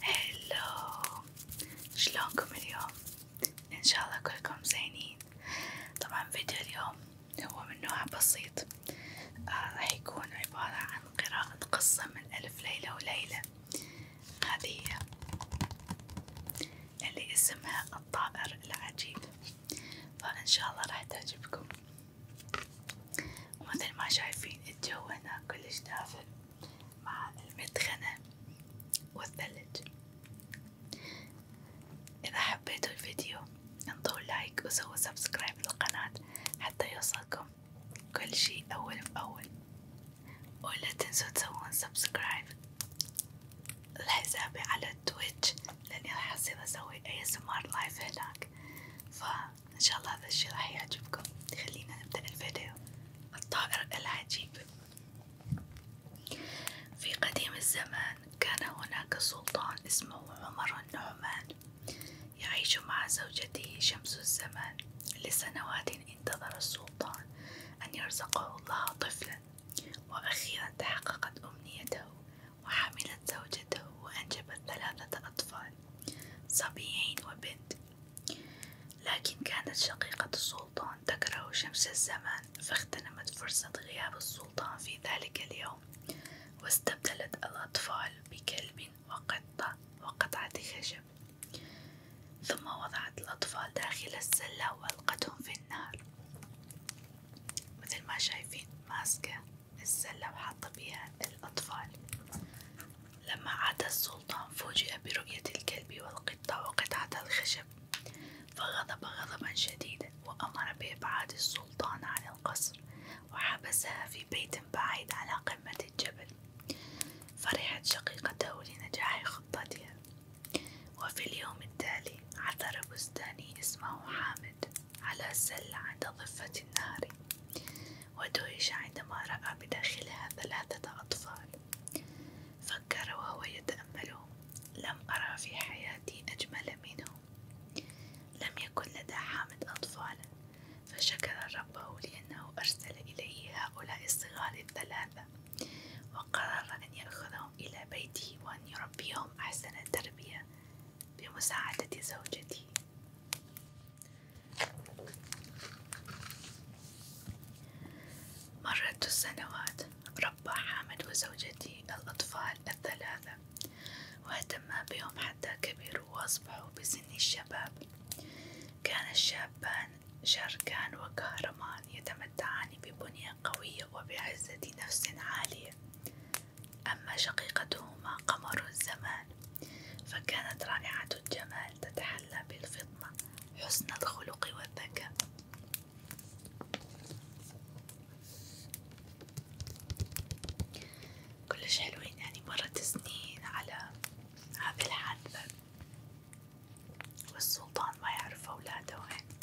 هلو شلونكم اليوم؟ ان شاء الله كلكم زينين طبعا فيديو اليوم هو من نوع بسيط آه، راح آه يكون عبارة عن قراءة قصة من ألف ليلة وليلة هذه اللي اسمها الطائر العجيب فإن شاء الله راح تعجبكم ومثل ما شايفين الجو هنا كلش دافئ مع المدخنة والثلج إذا حبيتوا الفيديو انطوا لايك وسووا سبسكرايب للقناة حتى يوصلكم كل شي أول بأول ولا تنسوا تسوون سبسكرايب لحسابي على تويتش لأني راح أصير أسوي ASMR لايف هناك ف ان شاء الله هذا الشي راح يعجبكم خلينا نبدأ الفيديو الطائر العجيب في قديم الزمان كان هناك سلطان اسمه عمر النعمان يعيش مع زوجته شمس الزمان لسنوات انتظر السلطان أن يرزقه الله طفلا وأخيرا تحققت أمنيته وحملت زوجته وأنجبت ثلاثة أطفال الأطفال صبيين وبنت لكن كانت شقيقة السلطان تكره شمس الزمان فاغتنمت فرصة غياب السلطان في ذلك اليوم واستبدلت الأطفال بكلب وقطة وقطعة خشب ثم وضعت الأطفال داخل السلة وألقتهم في النار مثل ما شايفين ماسكة السلة وحط بيها الأطفال لما عاد السلطان فوجئ برؤية الكلب والقطة وقطعة الخشب فغضب غضبا شديدا وأمر بإبعاد السلطان عن القصر وحبسها في بيت بعيد على قمة الجبل فرحت شقيقته لنجاح خطتها وفي اليوم التالي عثر بستاني اسمه حامد على سلة عند ضفة النهر ودهش عندما رأى بداخلها ثلاثة أطفال، فكر وهو يتأملهم، لم أرى في حياتي أجمل منهم، لم يكن لدى حامد أطفال، فشكر ربه لأنه أرسل إليه هؤلاء الصغار الثلاثة، وقرر أن يأخذهم إلى بيته وأن يربيهم أحسن تربية بمساعدة زوجتي مرت السنوات ربى حامد وزوجتي الأطفال الثلاثة واهتما بهم حتى كبروا وأصبحوا بسن الشباب كان الشابان شركان وكهرمان يتمتعان ببنية قوية وبعزة نفس عالية أما شقيقتهما قمر الزمان فكانت رائعة الجمال تتحلى بالفطنة حسن الخلق والذكاء كلش حلوين يعني مرت سنين على هذه الحادثة والسلطان ما يعرف أولاده وين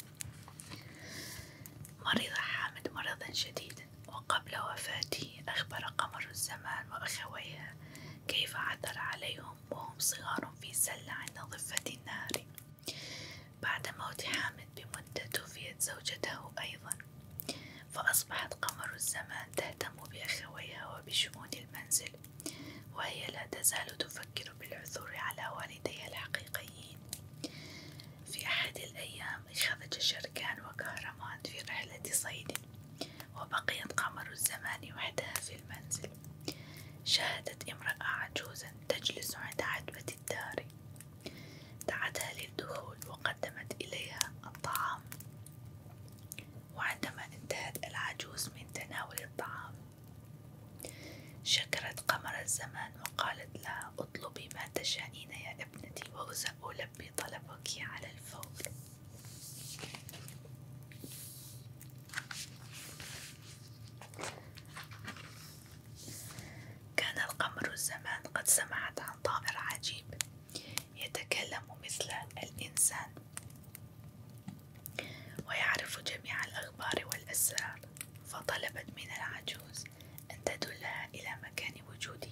مرض حامد مرضا شديدا وقبل وفاته أخبر قمر الزمان وأخويها كيف عثر عليهم وهم صغار في سلة عند ضفة النهر بعد موت حامد بمدة توفيت زوجته أيضا فأصبحت قمر الزمان تهتم بأخويها وبشؤون المنزل وهي لا تزال تفكر بالعثور على والديها الحقيقيين في أحد الأيام خرج شركان وكهرمان في رحلة صيد وبقيت قمر الزمان وحدها في المنزل شاهدت امرأة عجوزا تجلس عند عتبة الدار دعتها للدخول وقدمت إليها الطعام وعندما انتهت العجوز من تناول الطعام شكرت قمر الزمان وقالت لها اطلبي ما تشانين يا ابنتي وألبي طلبك على الفور كان القمر الزمان قد سمعت عن طائر عجيب يتكلم مثل الإنسان ويعرف جميع الأخبار والأسرار فطلبت من العجوز أن تدلها إلى مكان وجوده،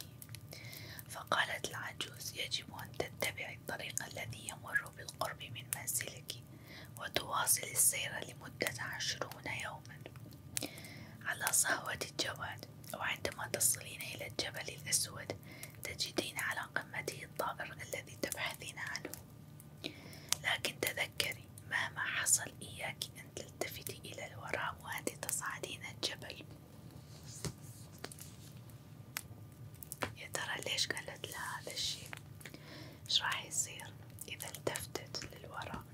فقالت العجوز: يجب أن تتبعي الطريق الذي يمر بالقرب من منزلك، وتواصل السير لمدة عشرون يوما على صهوة الجواد، وعندما تصلين إلى الجبل الأسود، تجدين على قمته الطائر الذي تبحثين عنه، لكن تذكري مهما حصل إياك أن تلتفتي إلى الوراء وأنت تصعدين الجبل يا ترى ليش قالت لها هذا الشيء ايش راح يصير إذا التفتت للوراء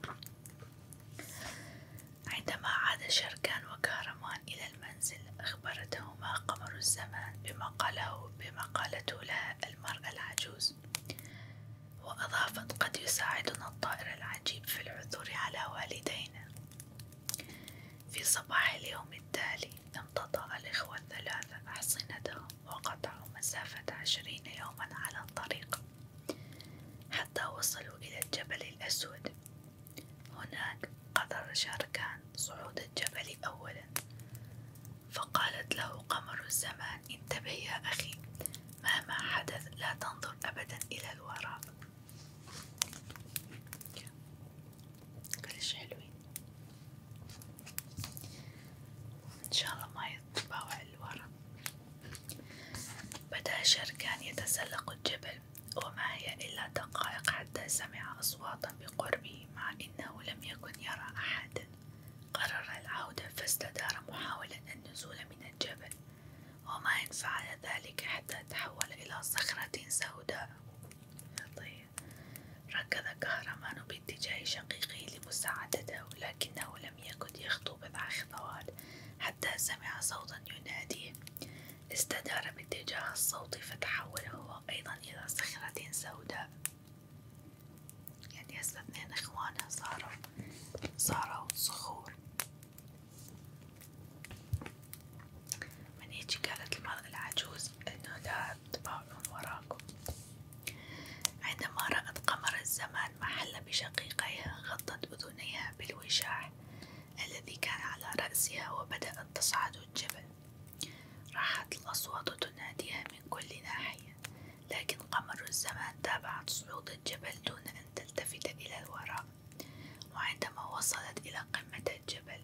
عندما عاد شركان وكهرمان إلى المنزل أخبرتهما قمر الزمان بما قاله بما قالته لها المرأة العجوز وأضافت قد يساعدنا الطائر العجيب في العثور على والدينا في صباح اليوم التالي امتطى الإخوة الثلاثة أحصنتهم وقطعوا مسافة عشرين يوما على الطريق حتى وصلوا إلى الجبل الأسود هناك قرر شاركان صعود الجبل أولا فقالت له قمر الزمان انتبه يا أخي مهما حدث لا تنظر أبدا إلى الوراء كلش حلوين إن شاء الله ما يتباوع الوراء بدأ شركان يتسلق الجبل وما هي إلا دقائق حتى سمع أصواتا بقربه مع أنه لم يكن يرى أحدا قرر العودة فاستدار محاولا النزول من الجبل وما إن فعل ذلك حتى تحول إلى صخرة سوداء طيب ركض كهرمان باتجاه شقيقه لمساعدته لكنه لم يكد يخطو بضع خطوات حتى سمع صوتا يناديه استدار باتجاه الصوت فتحول هو أيضا إلى صخرة سوداء يعني هسه اثنين اخوانها صاروا صاروا صخور من هيجي قالت المرأة العجوز انه لا تباعون وراكم عندما رأت قمر الزمان محل بشقيقيها غطت أذنيها بالوشاح الذي كان على رأسها وبدأت تصعد الجبل راحت الأصوات تناديها من كل ناحية، لكن قمر الزمان تابعت صعود الجبل دون أن تلتفت إلى الوراء، وعندما وصلت إلى قمة الجبل،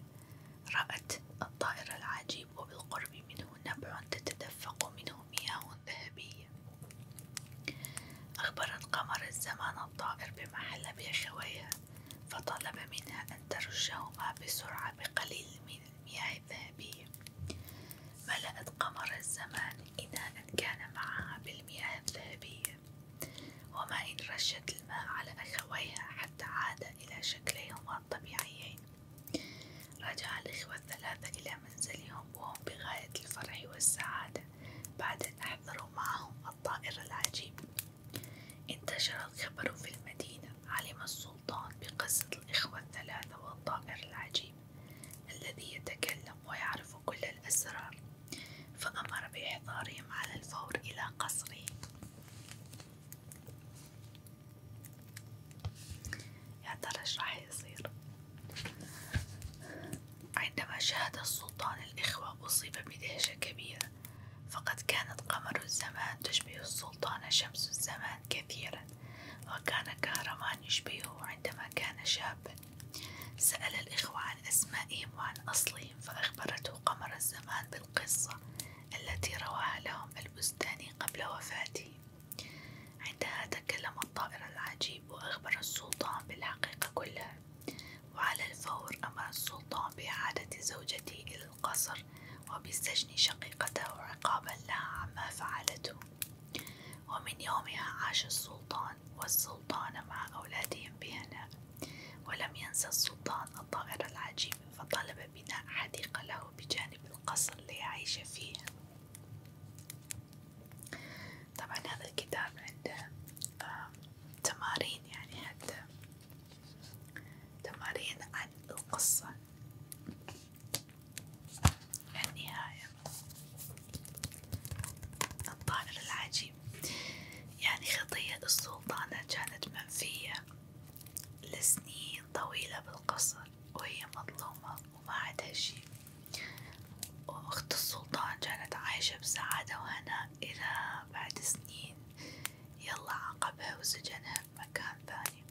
رأت الطائر العجيب وبالقرب منه نبع تتدفق منه مياه ذهبية. أخبرت قمر الزمان الطائر بما حل بأخويها، فطلب منها أن ترشهما بسرعة بقليل من المياه الذهبية ملأت قمر الزمان إناء كان معها بالمياه الذهبية وما إن رشت الماء على أخويها حتى عادا إلى شكليهما الطبيعيين رجع الإخوة الثلاثة إلى منزلهم وهم بغاية الفرح والسعادة بعد أن أحضروا معهم الطائر العجيب انتشرت خبر في المدينة علم السلطان بقصة الإخوة الثلاثة والطائر العجيب الذي يتكلم ويعرف كل الأسرار فأمر بإحضارهم على الفور إلى قصره يا ترى يصير عندما شاهد السلطان الإخوة أصيب بدهشة كبيرة فقد كانت قمر الزمان تشبه السلطان شمس الزمان كثيرا وكان كهرمان يشبهه عندما كان شابا سأل الإخوة عن أسمائهم وعن أصلهم فأخبرته قمر الزمان بالقصة التي رواها لهم البستاني قبل وفاته عندها تكلم الطائر العجيب وأخبر السلطان بالحقيقة كلها وعلى الفور أمر السلطان بإعادة زوجته إلى القصر وبسجن شقيقته عقابا لها عما فعلته ومن يومها عاش السلطان والسلطان مع أولادهم بهناء ولم ينسى السلطان الطائر العجيب فطلب بناء حديقة له بجانب القصر ليعيش فيها طبعا هذا الكتاب عنده آه، تمارين يعني حتى تمارين عن القصة النهاية الطائر العجيب يعني خطية السلطانة كانت منفية لسنين طويلة بالقصر وهي مظلومة وما عندها شي وأخت السلطان كانت عايشة بسعادة وهناء إلى بعد سنين يلا عاقبها وسجنها بمكان ثاني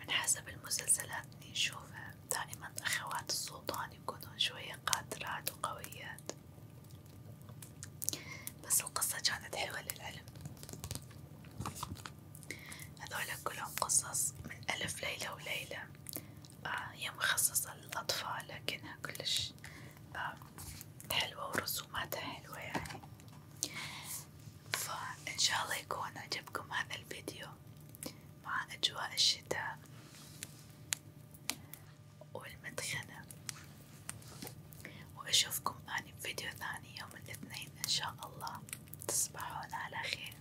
من حسب المسلسلات اللي نشوفها دائما أخوات السلطان يكونون شوية قادرات وقويات بس القصة كانت حلوة للعلم هذول كلهم قصص من ألف ليلة وليلة هي آه، مخصصة للأطفال لكنها كلش آه، حلوة ورسوماتها حلوة يعني فإن شاء الله يكون عجبكم هذا الفيديو مع أجواء الشتاء والمدخنة وأشوفكم أني بفيديو ثاني يوم الاثنين إن شاء الله تصبحون على خير